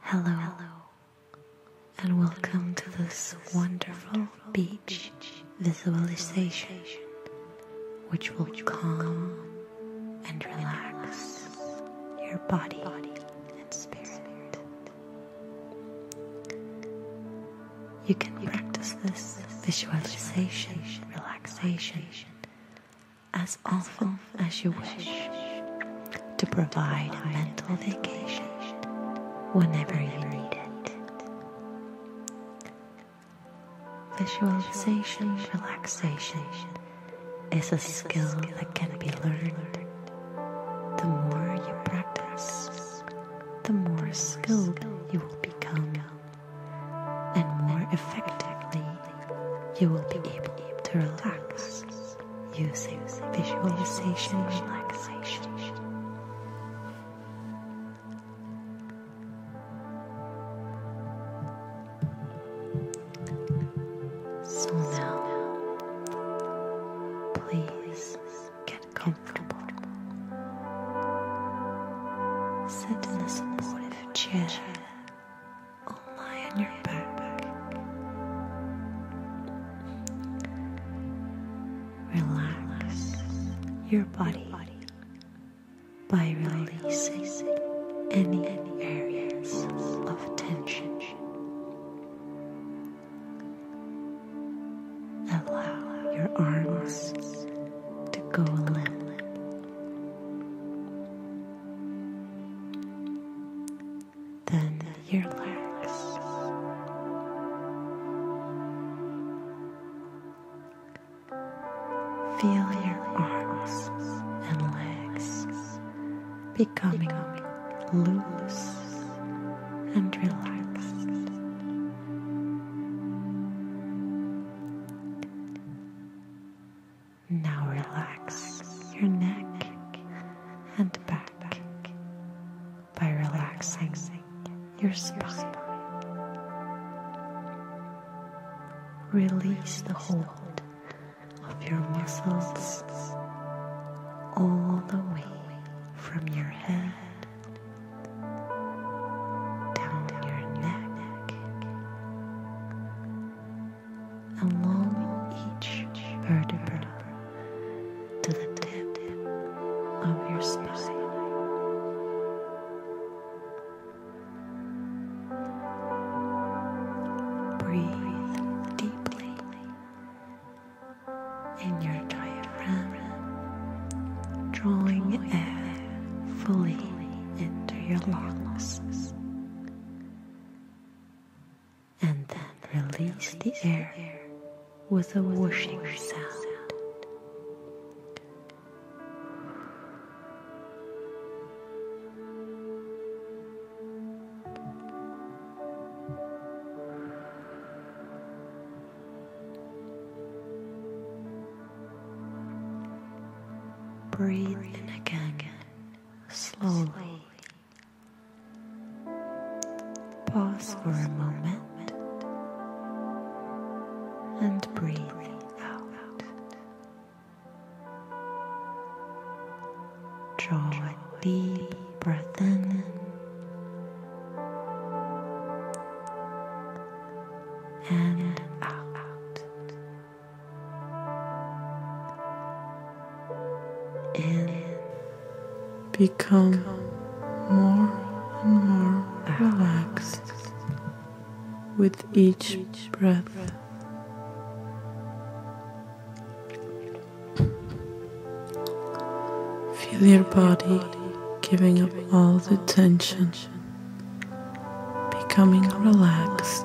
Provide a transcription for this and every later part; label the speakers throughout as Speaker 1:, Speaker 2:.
Speaker 1: Hello, hello, and welcome to this wonderful beach visualization, which will calm and relax your body and spirit. You can practice this visualization, relaxation as often as you wish to provide a mental vacation whenever you need it. Visualization relaxation is a skill that can be learned. The more you practice, the more skilled you will become and more effectively you will be able to relax using visualization relaxation. So now, please get comfortable. Sit in a supportive chair lie on your back. Relax your body by releasing any areas of tension. Allow your arms to go limp then your legs. Feel your arms and legs becoming loose and relaxed. Now relax your neck and back by relaxing your spine. Release the hold of your muscles all the way from your head down your neck along each vertebra to the tip of your spine. Breathe deeply in your diaphragm, drawing air fully into your lungs and then release the air with a whooshing sound. Breathe in again, slowly. Pause for a moment and breathe out. Draw a deep breath in and out in,
Speaker 2: become more and more relaxed with each breath. Feel your body giving up all the tension, becoming relaxed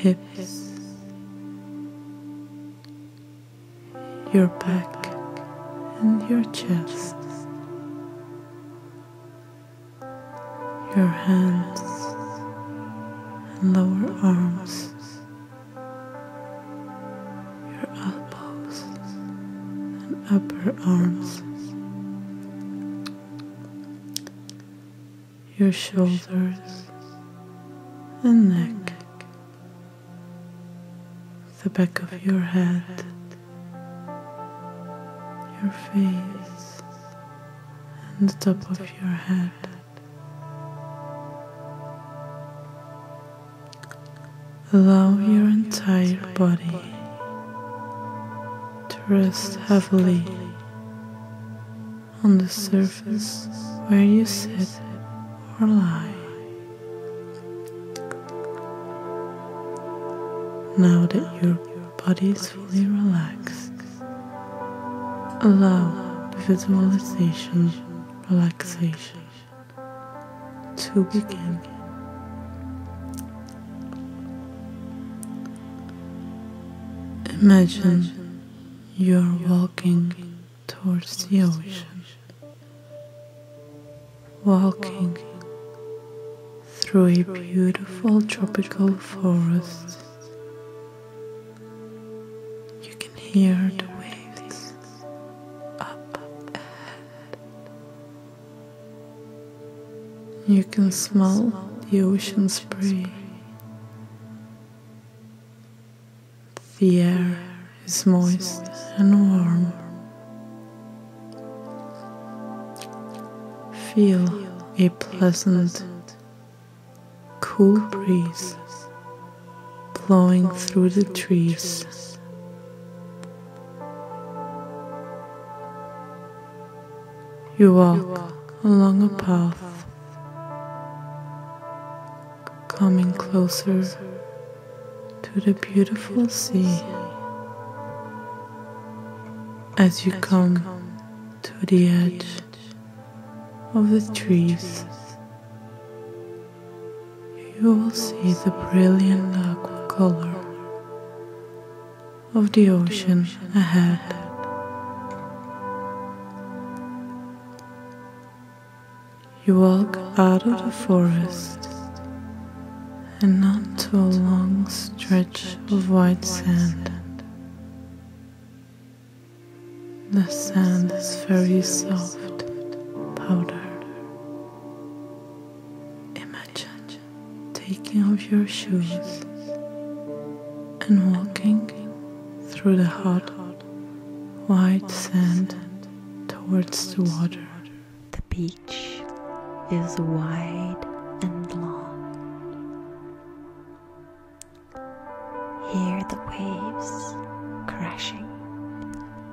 Speaker 2: hips, your back and your chest, your hands and lower arms, your elbows and upper arms your shoulders and neck, the back of your head, your face, and the top of your head. Allow your entire body to rest heavily on the surface where you sit or lie. Now that your body is fully relaxed, allow the visualization relaxation to begin. Imagine you're walking towards the ocean, walking through a beautiful tropical forest. You can hear the waves up ahead. You can smell the ocean spray. The air is moist and warm. Feel a pleasant, cool breeze blowing through the trees. You walk along a path, coming closer to the beautiful sea. As you come to the edge of the trees, you will see the brilliant aqua color of the ocean ahead. You walk out of the forest and onto a long stretch of white sand. The sand is very soft powder. Imagine taking off your shoes and walking through the hot,
Speaker 1: white sand towards the water. The beach is wide and long. Hear the waves crashing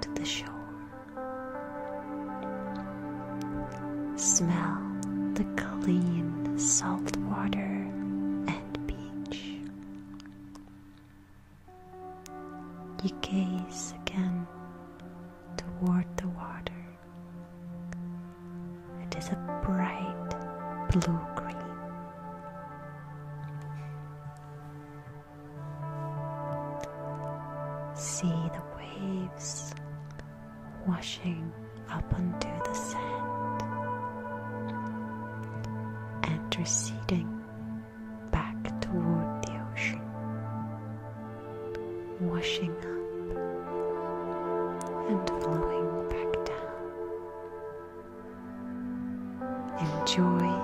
Speaker 1: to the shore. Smell the clean salt water and beach. You gaze again toward the water. It is a bright blue green. See the waves washing up onto the sand and receding back toward the ocean, washing up and flowing back down. Enjoy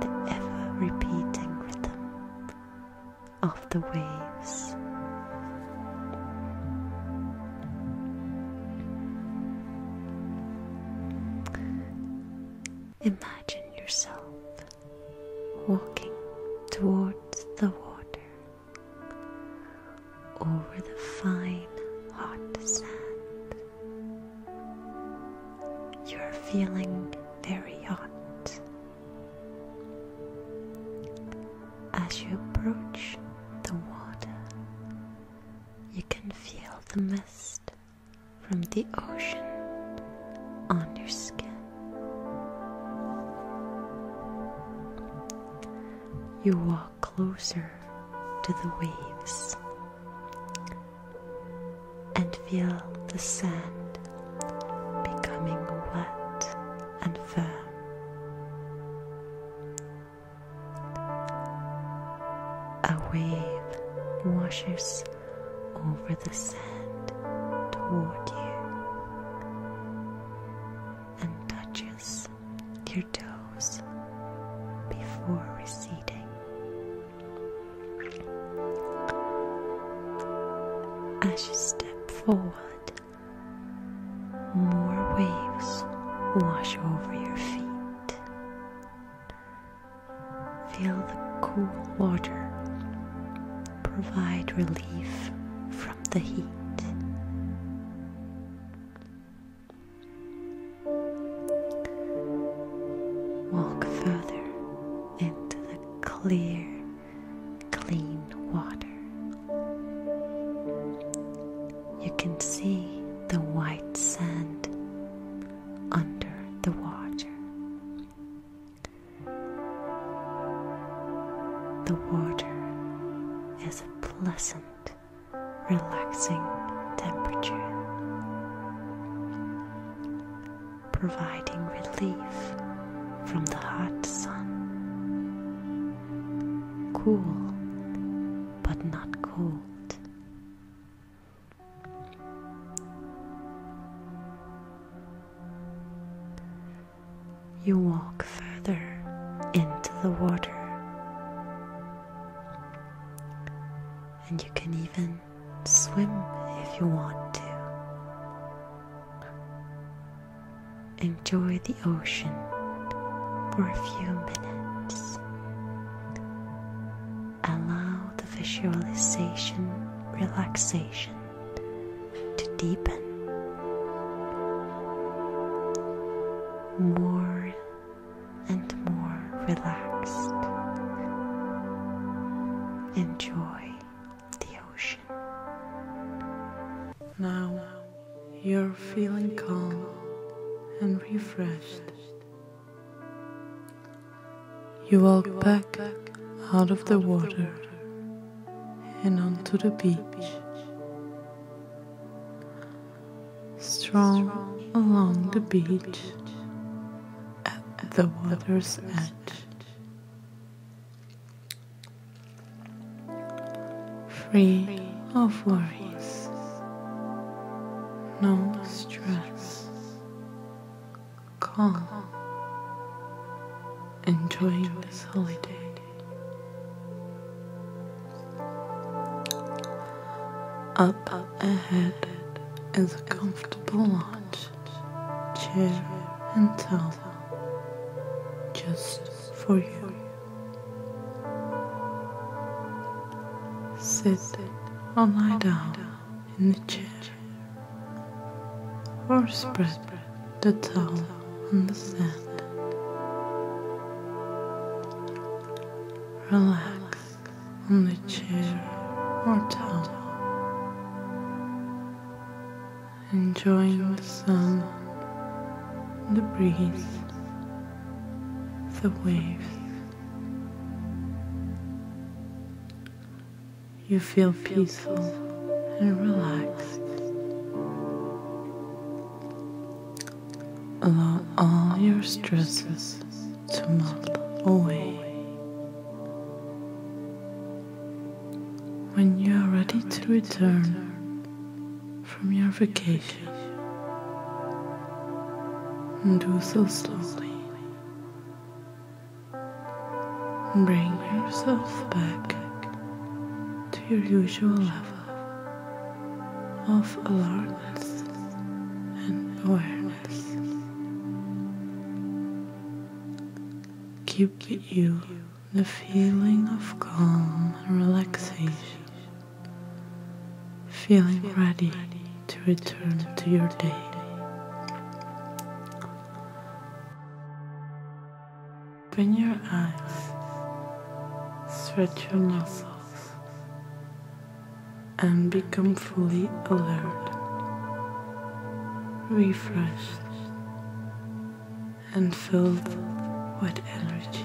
Speaker 1: the ever repeating rhythm of the waves. Imagine yourself walking towards the water over the fine hot sand. You're feeling very hot. As you approach the water, you can feel the mist from the ocean on your skin. You walk closer to the waves and feel the sand becoming wet and firm. A wave washes over the sand toward you and touches your toes before receding. As you step forward, more waves wash over your feet. Feel the cool water provide relief from the heat. Walk further into the clear clean water. You can see the white sand under the water. The water is a pleasant, relaxing temperature, providing relief from the hot sun cool but not cold. You walk further into the water, and you can even swim if you want to. Enjoy the ocean for a few minutes. Allow the visualization, relaxation to deepen. More and more relaxed. Enjoy the ocean. Now
Speaker 2: you're feeling calm and refreshed. You walk back out of the water and onto the beach. strong along the beach at the water's edge free of worries, no stress, calm, enjoying this holiday. Up ahead is a comfortable lounge, chair and towel. Just for you. Sit or lie down in the chair or spread the towel on the sand. Relax on the chair or towel enjoying the sun, the breeze, the waves. You feel peaceful and relaxed. Allow all your stresses to melt away. When you are ready to return from your vacation, do so slowly. Bring yourself back to your usual level of alertness and awareness. Keep you the feeling of calm and relaxation, feeling ready to return to your day. Open your eyes, stretch your muscles, and become fully alert, refreshed, and filled
Speaker 1: with energy.